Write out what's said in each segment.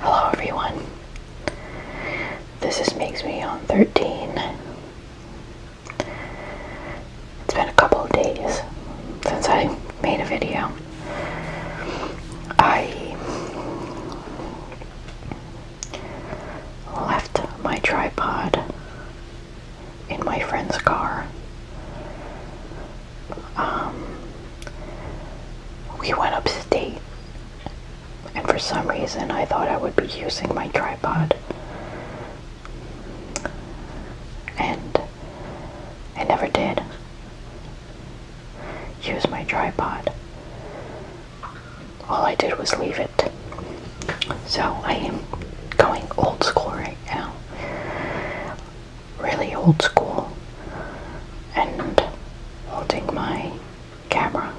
Hello everyone. This is Makes Me on 13. It's been a couple of days since I made a video. I left my tripod in my friend's car um, we went upstate, and for some reason I thought I would be using my tripod, and I never did use my tripod. All I did was leave it. So I am going old school right now really old school and holding my camera.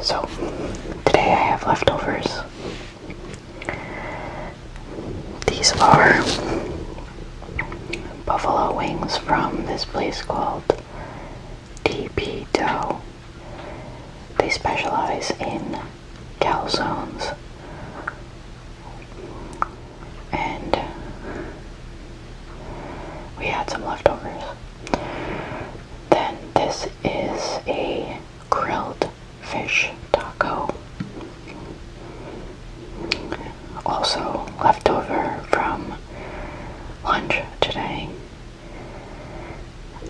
So, today I have leftovers. These are buffalo wings from this place called DP Dough. They specialize in calzones and we had some leftovers. Then this is a grilled fish taco. Also leftover from lunch today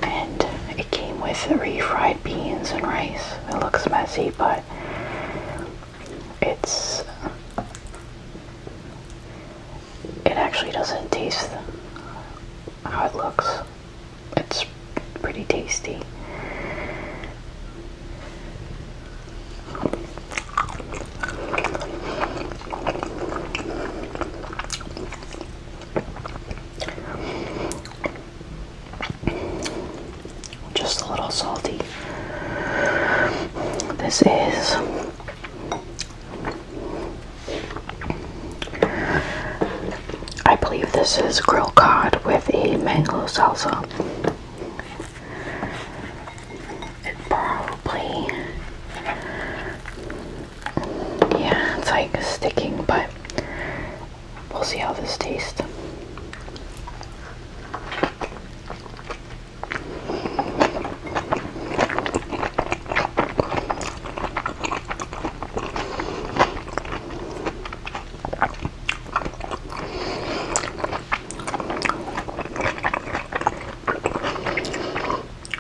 and it came with refried beans and rice. It looks messy, but it's it actually doesn't taste how it looks. It's pretty tasty. Just a little salty. This is I believe this is grilled cod with a mango salsa. It probably yeah, it's like sticking, but we'll see how this tastes.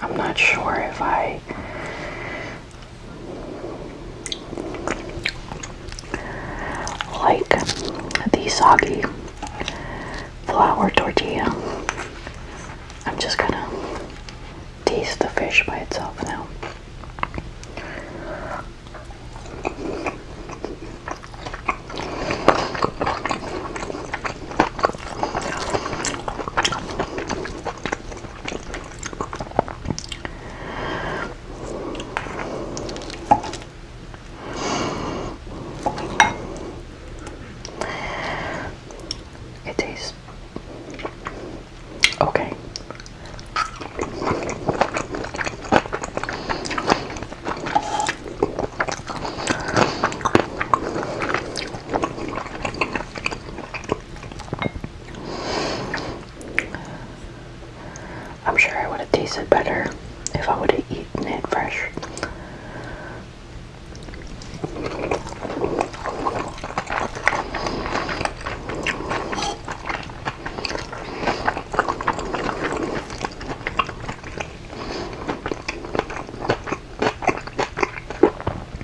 I'm not sure if I like the soggy flour tortilla. I'm just gonna taste the fish by itself now. It tastes okay. I'm sure it would have tasted better if I would have eaten it fresh.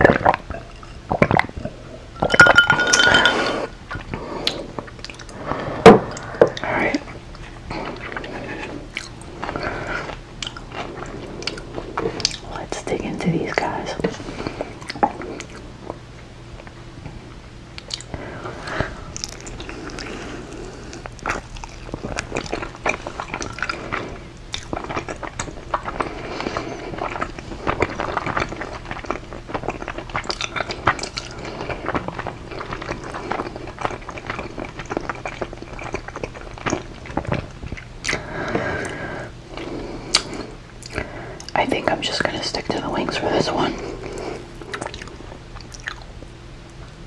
All right. Let's dig into these guys. I think I'm just going to stick to the wings for this one.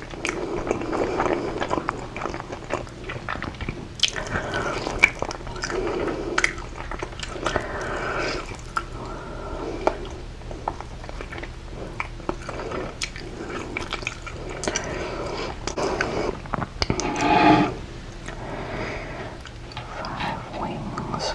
Five wings.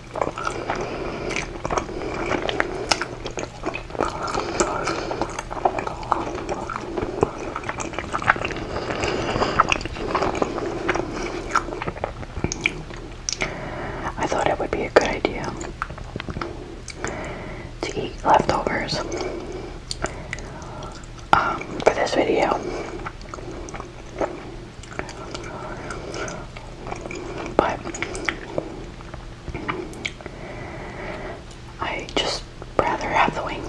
I thought it would be a good idea to eat leftovers um, for this video. But I just rather have the wings.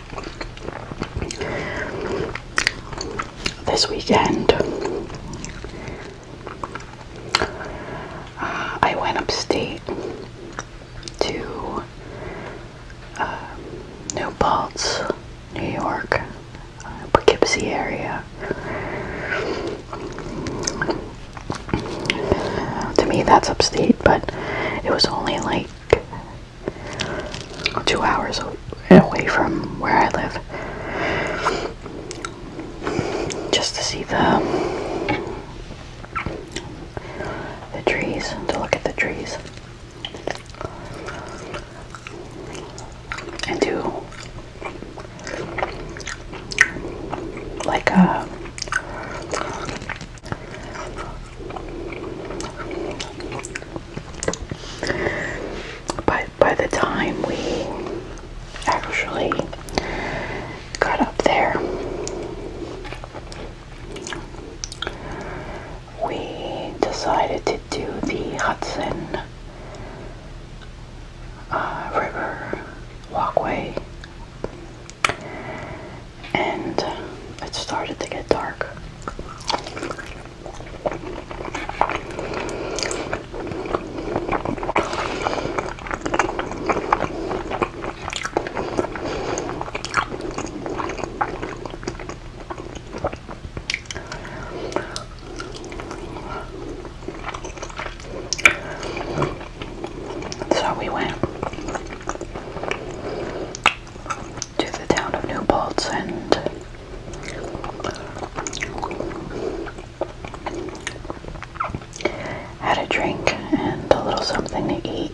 this weekend. Uh, I went upstate to uh, New Paltz, New York, uh, Poughkeepsie area. Uh, to me, that's upstate, but it was only like two hours away from where I live, just to see the the trees, to look at the trees, and do like a uh, but by the time we actually got up there, we decided to do the Hudson uh, River walkway and uh, it started to get dark. So we went to the town of New Paltz and had a drink and a little something to eat.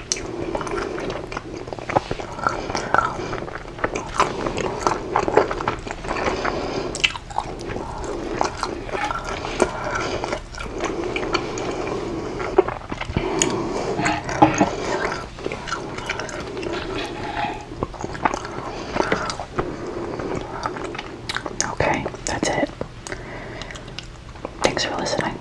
Okay, that's it. Thanks for listening.